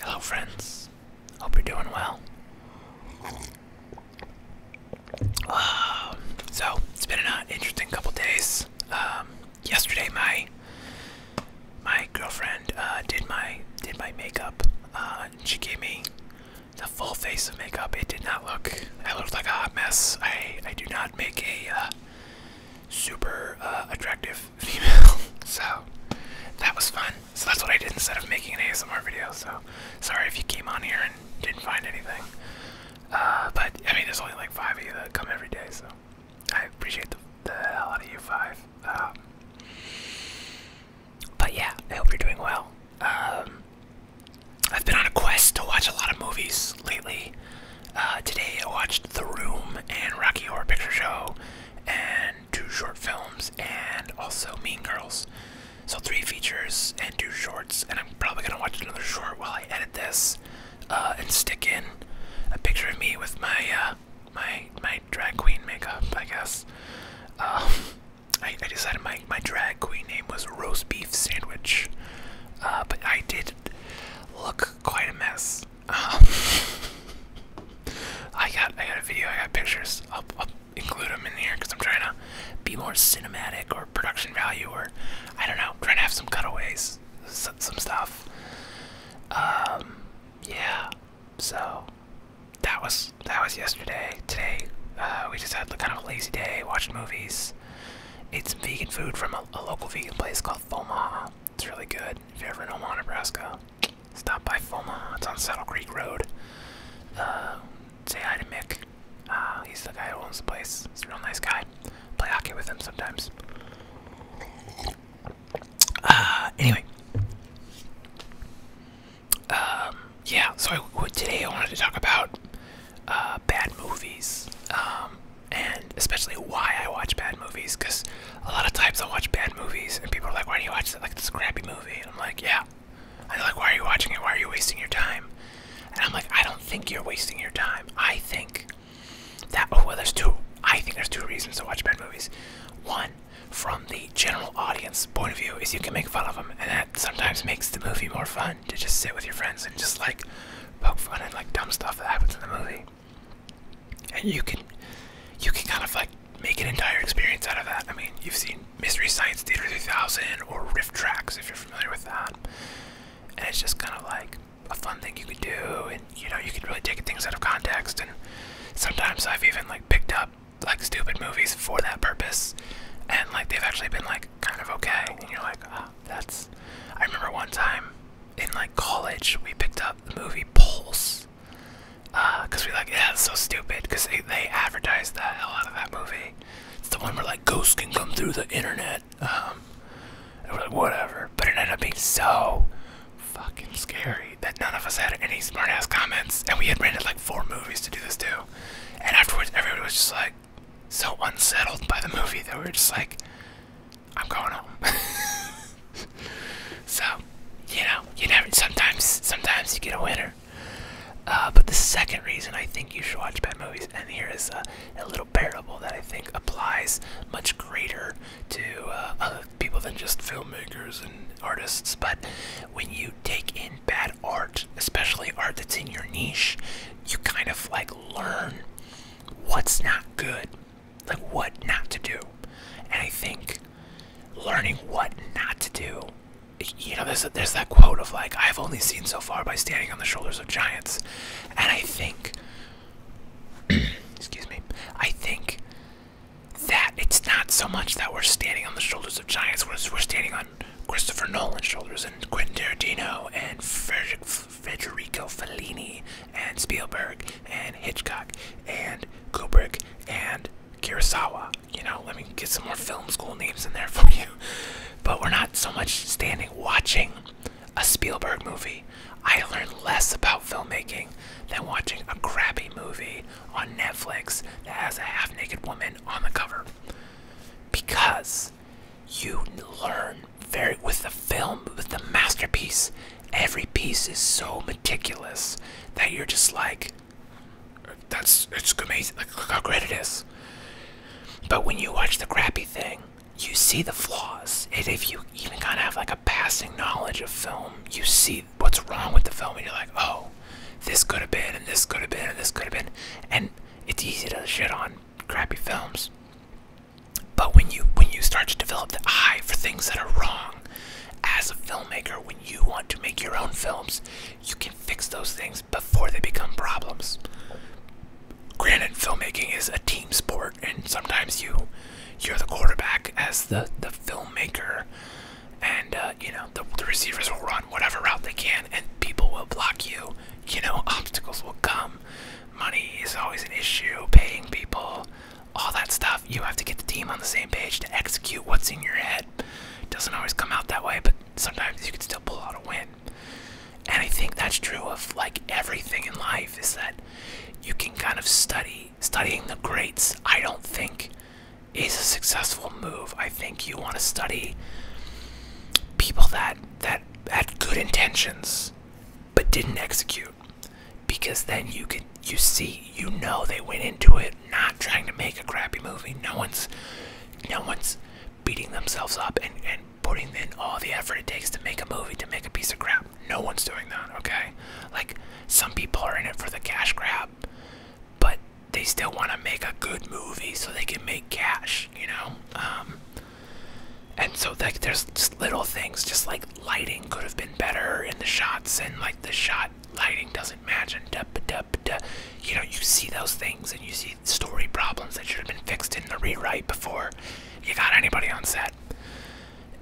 Hello, friends. Hope you're doing well. Um, so, it's been an uh, interesting couple days. Um, yesterday, my my girlfriend uh, did my did my makeup. Uh, she gave me the full face of makeup. It did not look. I looked like a mess. I I do not make a uh, super uh, attractive with So that was fun. So that's what I did instead of making an ASMR video. So sorry if you came on here and didn't find anything. Uh, but I mean, there's only like five of you that come every day, so I appreciate the, the hell out of you five. Um, but yeah, I hope you're doing well. Um, I've been on a quest to watch a lot of movies lately. Uh, today I watched The Room and Rocky Horror Picture Show and two short films, and also Mean Girls. So three features and two shorts, and I'm probably gonna watch another short while I edit this, uh, and stick in a picture of me with my uh, my my drag queen makeup, I guess. Um, I, decided my my drag queen name was roast beef sandwich, uh, but I did look quite a mess. Um, I got I got a video, I got pictures. I'll, include them in here because I'm trying to be more cinematic or production value or I don't know, trying to have some cutaways, some, stuff. Um, yeah. So that was that was yesterday. Today uh, we just had the kind of a lazy day, watching movies, ate some vegan food from a, local vegan place called Foma. It's really good. If you're ever in Omaha, Nebraska, stop by FOMA. It's on Saddle Creek Road. Uh, say hi to Mick. Uh, he's the guy who owns the place. He's a real nice guy. Play hockey with him sometimes. Uh, anyway. Um, yeah, so I, today I wanted to talk about uh, bad movies. Um, and especially why I watch bad movies, because a lot of times I watch bad movies and people are like, why do you watch Like this crappy movie. I'm like, yeah. And they're like, why are you watching it? Why are you wasting your time? And I'm like, I don't think you're wasting your time. I think that, oh, well, there's two, I think there's two reasons to watch bad movies. One, from the general audience point of view, is you can make fun of them. And that sometimes makes the movie more fun to just sit with your friends and just like poke fun at like dumb stuff that happens in the movie and you can you can kind of like make an entire experience out of that. I mean, you've seen Mystery Science Theater 3000 or Rift Tracks if you're familiar with that, and it's just kind of like a fun thing you could do, and you know you can really take things out of context. And sometimes I've even like picked up like stupid movies for that purpose, and like they've actually been like kind of okay, and you're like, oh, that's. I remember one time in like college we picked up the movie Pulse Wars. Because uh, we like, yeah, it's so stupid. Because they, they advertised the hell out of that movie. It's the one where like ghosts can come through the internet. Um, and we're like, whatever. But it ended up being so fucking scary that none of us had any smart ass comments. And we had rented like four movies to do this too. And afterwards, everybody was just like so unsettled by the movie that we were just like, I'm going home. so, you know, you never. Sometimes, sometimes you get a winner. Uh, but the second reason I think you should watch bad movies, and here is a, little parable that I think applies much greater to uh, other people than just filmmakers and artists. But when you take in bad art, especially art that's in your niche, you kind of like learn what's not good like what not to do. And I think learning what not to do, you know, there's, there's that quote of like, I've only seen so far by standing on the shoulders of giants. And I think, excuse me, I think that it's not so much that we're standing on the shoulders of giants, we're, we're standing on Christopher Nolan's shoulders and Quentin Tarantino and Federico Fellini and Spielberg and Hitchcock and Kubrick and Kurosawa. You know, let me get some more film school names in there for you. But we're not so much standing watching a Spielberg movie. I learn less about filmmaking than watching a crappy movie on Netflix that has a half naked woman on the cover. Because you learn very with the film, with the masterpiece, every piece is so meticulous that you're just like that's it's amazing like look how great it is but when you watch the crappy thing you see the flaws and if you even kind of have like a passing knowledge of film you see what's wrong with the film and you're like oh this could have been and this could have been and this could have been and it's easy to shit on crappy films but when you when you start to develop the eye for things that are wrong as a filmmaker, when you want to make your own films, you can fix those things before they become problems. Granted, filmmaking is a team sport, and sometimes you you're the quarterback as the the filmmaker, and uh, you know the, the receivers will run whatever route they can, and people will block you. You know obstacles will come. Money is always an issue. Paying people, all that stuff. You have to get the team on the same page to execute what's in your head. Doesn't always come out that way, but sometimes you can still pull out a win. And I think that's true of like everything in life is that you can kind of study. Studying the greats, I don't think is a successful move. I think you want to study people that that had good intentions but didn't execute because then you can, you see you know they went into it not trying to make a crappy movie. No one's no one's beating themselves up and, and putting in all the effort it takes to make a movie to make a piece of crap. No one's doing that, okay? Like some people are in it for the cash grab, but they still want to make a good movie so they can make cash, you know? Um, and so like there's just little things just like lighting could have been better in the shots and like the shot lighting doesn't match and duh, duh, duh. you know you see those things and you see story problems that should have been fixed in the rewrite before you got anybody on set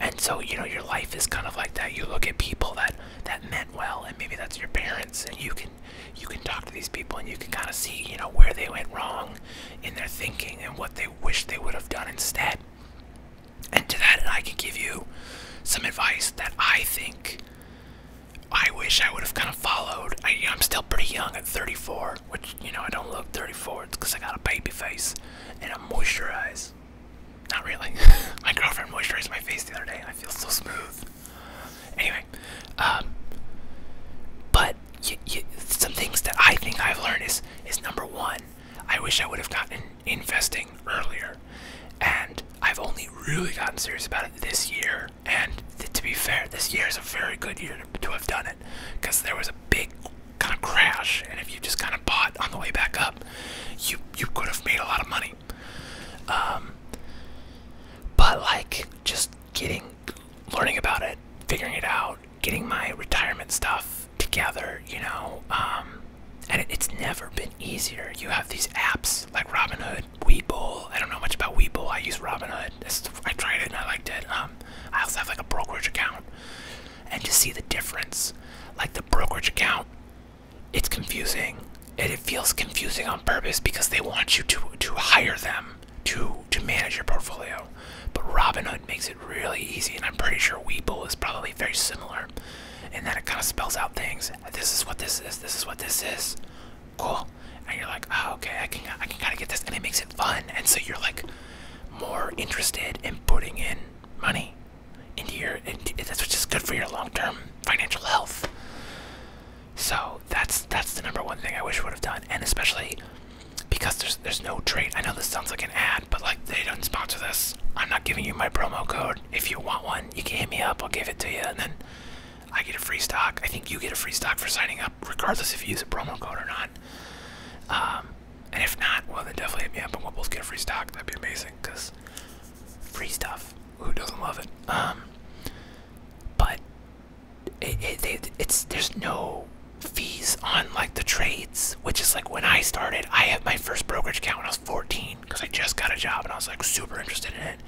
and so you know your life is kind of like that you look at people that that meant well and maybe that's your parents and you can you can talk to these people and you can kind of see you know where they went wrong in their thinking and what they wish they would have done instead and to that, I can give you some advice that I think I wish I would have kind of followed. I, am still pretty young at 34, which, you know, I don't look 34 It's because I got a baby face and i moisturize. Not really. my girlfriend moisturized my face the other day and I feel so smooth. Anyway, um, but some things that I think I've learned is, is number one, I wish I would have gotten investing earlier. And I've only really gotten serious about it this year. And to be fair, this year is a very good year to, to have done it because there was a big kind of crash. And if you just kind of bought on the way back up, you, you could have made a lot of money. Um, but like just getting, learning about it, figuring it out, getting my retirement stuff together, you know. Um, and it's never been easier. You have these apps like Robinhood, Weebull. I don't know much about Weebull. I use Robinhood. I tried it and I liked it. Um, I also have like a brokerage account, and just see the difference. Like the brokerage account, it's confusing. And it feels confusing on purpose because they want you to to hire them to to manage your portfolio. But Robin Hood makes it really easy, and I'm pretty sure Weeble is probably very similar And then it kind of spells out things. This is what this is. This is what this is. Cool. And you're like, oh, okay, I can I can kind of get this, and it makes it fun. And so you're like more interested in putting in money into your. Into, that's just good for your long-term financial health. So that's that's the number one thing I wish would have done, and especially because there's there's no trade. I know this sounds like an ad, but like they don't sponsor this. I'm not giving you my promo code. If you want one, you can hit me up. I'll give it to you, and then I get a free stock. I think you get a free stock for signing up, regardless if you use a promo code or not. Um, and if not, well then definitely hit me up, and we'll both get a free stock. That'd be amazing, cause free stuff. Who doesn't love it? Um, but it, it, it's there's no fees on like the trades, which is like when I started, I had my first brokerage account when I was 14 because I just got a job and I was like super interested in it.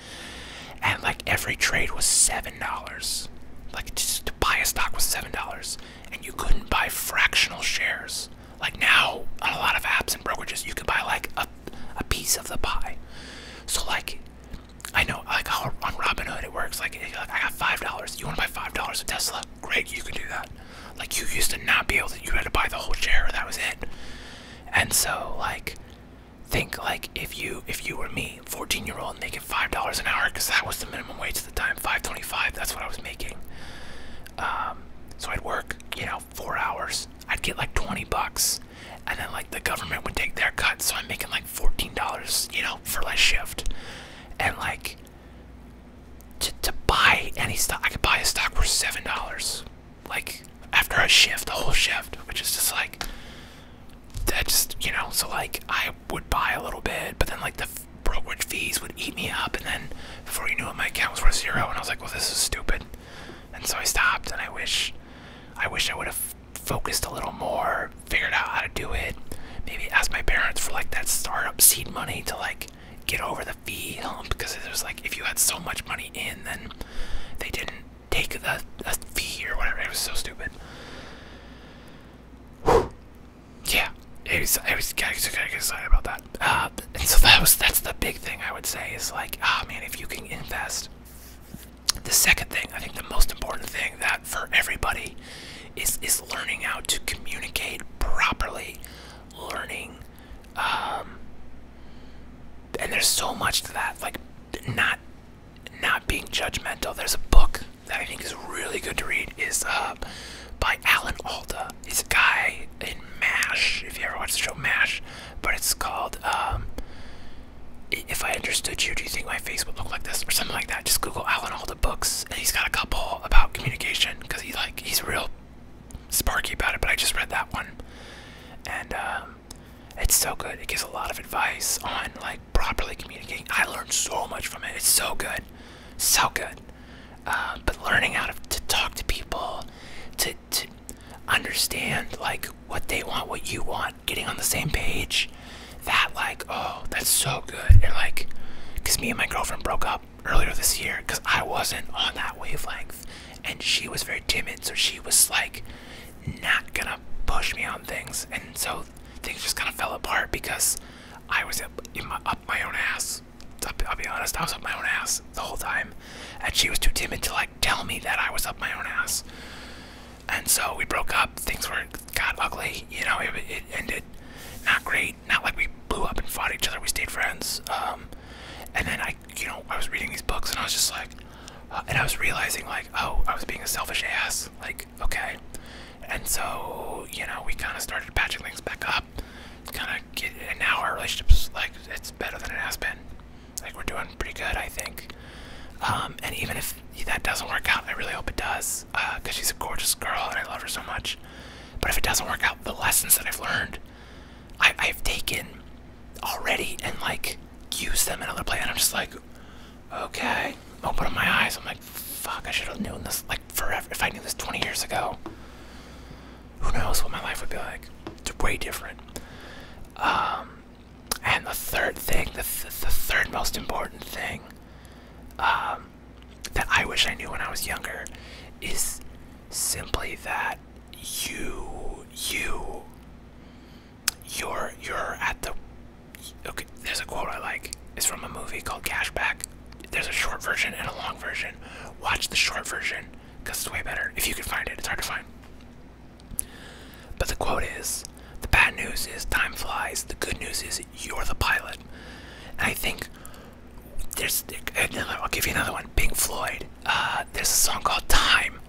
And like every trade was $7. Like just to buy a stock was $7. And you couldn't buy fractional shares. Like now, on a lot of apps and brokerages, you can buy like a, a piece of the pie. So like, I know like on Robinhood it works. Like, I got $5. You want to buy $5 of Tesla? Greg, you can do that. Like, you used to not be able to, you had to buy the whole chair, that was it. And so, like, think like if you if you were me, 14 year old, making five dollars an hour, because that was the minimum wage at the time, 5.25. That's what I was making. Um, so I'd work, you know, four hours. I'd get like 20 bucks, and then like the government would take their cut. So I'm making like 14 dollars, you know, for less shift, and like to, to buy any stock. I could buy a stock for seven dollars, like after a shift, the whole shift, which is just like that. Just you know, so like I would buy a little bit, but then like the brokerage fees would eat me up, and then before you knew it, my account was worth zero, and I was like, well, this is stupid, and so I stopped, and I wish, I wish I would have focused a little more figured out how to do it. Maybe ask my parents for like that startup seed money to like get over the fee hump because it was like if you had so much money in, then they didn't take the, the fee or whatever. It was so stupid. Yeah, it was. I was getting of excited about that. Uh, and so that was that's the big thing I would say is like, ah, oh, man, if you can invest. The second thing, I think the most important thing that for everybody is is learning how to communicate properly, learning, um, and there's so much to that. Like not not being judgmental. There's a book that I think is really good to read is uh, by Alan Alda. He's a guy in MASH, if you ever watched the show MASH, but it's called um, If I Understood You, Do You Think My Face Would Look Like This? or something like that. Just Google Alan Alda books, and he's got a couple about communication because he like he's real sparky about it. But I just read that one, and um, it's so good. It gives a lot of advice on like properly communicating. I learned so much from it. It's so good, so good. Uh, but learning how to, to talk to people, to to understand like what they want, what you want, getting on the same page, that like oh that's so good and like because me and my girlfriend broke up earlier this year because i wasn't on that wavelength and she was very timid so she was like not gonna push me on things and so things just kind of fell apart because i was up my own ass I'll be honest, I was up my own ass the whole time. And she was too timid to like tell me that I was up my own ass. And so we broke up. Things were got ugly. You know, it, ended not great. Not like we blew up and fought each other. We stayed friends. Um, and then I, you know, I was reading these books and I was just like, uh, and I was realizing like, oh, I was being a selfish ass. Like, okay. And so, you know, we kind of started patching things back up. Kind of get, and now our relationship's like, it's better than it has been. Like, we're doing pretty good, I think. Um, and even if that doesn't work out, I really hope it does, because uh, she's a gorgeous girl and I love her so much. But if it doesn't work out, the lessons that I've learned, I, I've taken already and like use them in other play, I'm just like, okay. Open up my eyes. I'm like, fuck, I should have known this like forever. If I knew this 20 years ago, who knows what my life would be like? It's way different. Um, and the third thing, the, the third most important thing, um, that I wish I knew when I was younger is simply that you you you're you're at the okay there's a quote I like it's from a movie called Cashback there's a short version and a long version watch the short version because it's way better if you can find it it's hard to find but the quote is the bad news is time flies the good news is you're the pilot. And I think there's another. I'll give you another one. Pink Floyd. Uh, there's a song called Time.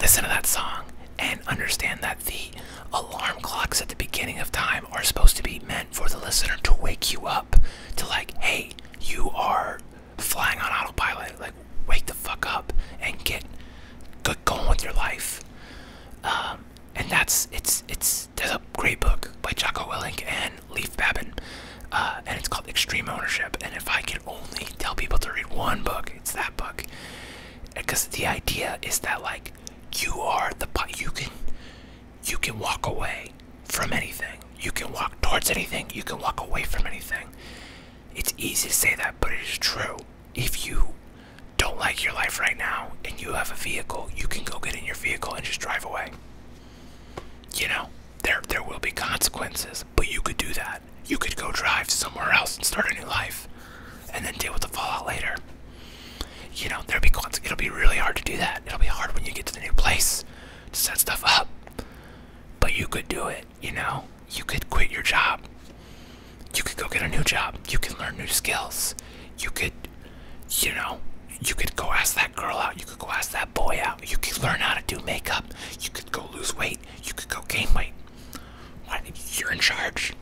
Listen to that song and understand that the alarm clocks at the beginning of time are supposed to be meant for the listener to wake you up to like, hey, you are flying on autopilot. Like, wake the fuck up and get good going with your life. Um, and that's it's it's is there's a great book by Jocko Willink and Leif Babin, uh, and it's called Extreme Ownership. And if I could only tell people to read one book, it's that book, because the idea is that like you are the you can you can walk away from anything, you can walk towards anything, you can walk away from anything. It's easy to say that, but it is true if you don't like your life right now and you have a vehicle, you can go get in your vehicle and just drive away. You know, there there will be consequences, but you could do that. You could go drive somewhere else and start a new life and then deal with the fallout later. You know, there'll be it'll be really hard to do that. It'll be hard when you get to the new place to set stuff up. But you could do it, you know? You could quit your job you could go get a new job. You could learn new skills. You could, you know, you could go ask that girl out. You could go ask that boy out. You could learn how to do makeup. You could go lose weight. You could go gain weight. You're in charge.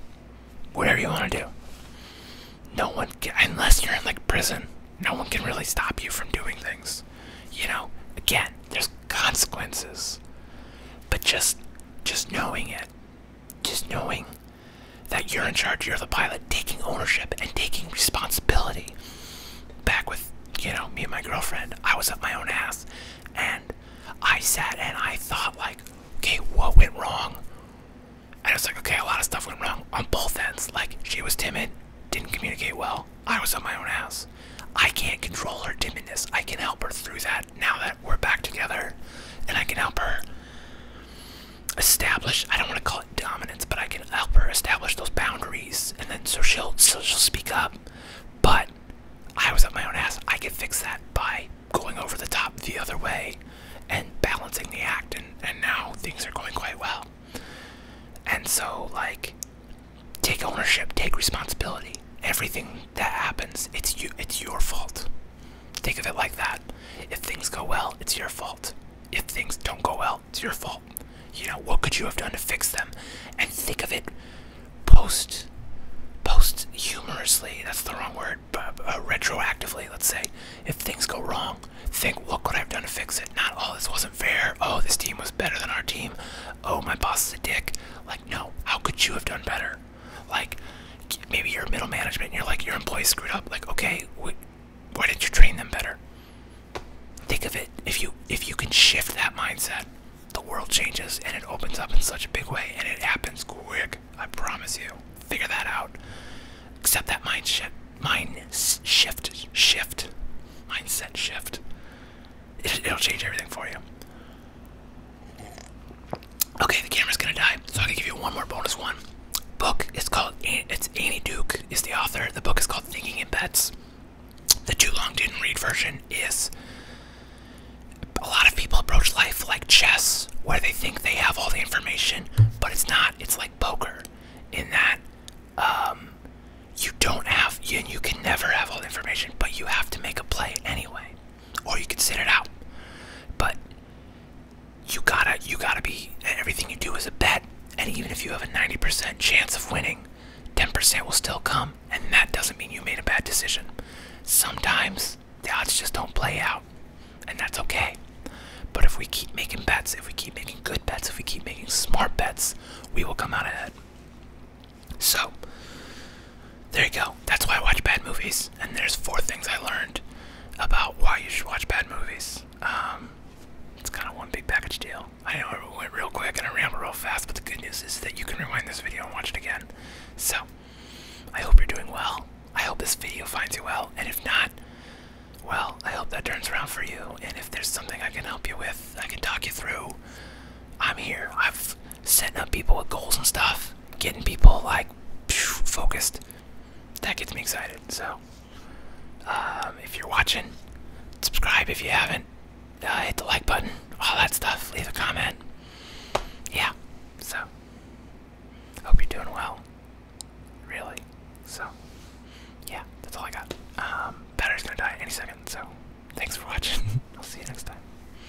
Whatever you want to do. No one can, unless you're in like prison, no one can really stop you from doing things. You know, again, there's consequences. But just, just knowing it, just knowing that you're in charge, you're the pilot, taking ownership and taking responsibility. Back with, you know, me and my girlfriend, I was at my own ass and I sat and I thought, like, okay, what went wrong? And it's like, okay, a lot of stuff went wrong on both ends. Like, she was timid, didn't communicate well, I was at my own ass. I can't control her timidness. I can help her through that now that we're back together and I can help her establish I don't want to call it dominance, but I can help her establish those boundaries and then so she'll so she'll speak up. But I was up my own ass. I could fix that by going over the top the other way and balancing the act and, and now things are going quite well. And so like take ownership, take responsibility. Everything that happens, it's you it's your fault. Think of it like that. If things go well, it's your fault. If things don't go well, it's your fault. You know, what could you have done to fix them? And think of it post, post humorously, that's the wrong word, uh, retroactively, let's say. If things go wrong, think, what could I have done to fix it? Not, all oh, this wasn't fair. Oh, this team was better than our team. Oh, my boss is a dick. Like, no, how could you have done better? Like, maybe you're middle management and you're like, your employees screwed up. Like, okay, why didn't you train them better? Think of it if you if you can shift that mindset, the world changes and it opens up in such a big way and it happens quick. I promise you. Figure that out. Accept that mind shift, mind shift, shift, mindset shift. it'll change everything for you. Okay, the camera's gonna die, so I'm gonna give you one more bonus one. Book is called it's Annie Duke is the author. The book is called Thinking in Bets. The too long didn't read version is a lot of people approach life like chess, where they think they have all the information, but it's not. It's like poker, in that um, you don't have, you, you can never have all the information, but you have to make a play anyway or you can sit it out. But you gotta you gotta be everything you do is a bet, and even if you have a 90% chance of winning, 10% will still come, and that doesn't mean you made a bad decision. Sometimes the odds just don't play out, and that's okay. But if we keep making bets, if we keep making good bets, if we keep making smart bets, we will come out ahead. So, there you go. That's why I watch bad movies. And there's four things I learned about why you should watch bad movies. Um, it's kind of one big package deal. I know it went real quick and I ramble real fast, but the good news is that you can rewind this video and watch it again. So, I hope you're doing well. I hope this video finds you well. And if not, well, I hope that turns around for you. And if there's something I can help you with, I can talk you through. I'm here. I've setting up people with goals and stuff, getting people like focused. That gets me excited. So, um, if you're watching, subscribe if you haven't. Uh, hit the like button, all that stuff. Leave a comment. Yeah. So, I hope you're doing well. Really. So, yeah, that's all I got. Um, battery's gonna die any second. So, thanks for watching. I'll see you next time.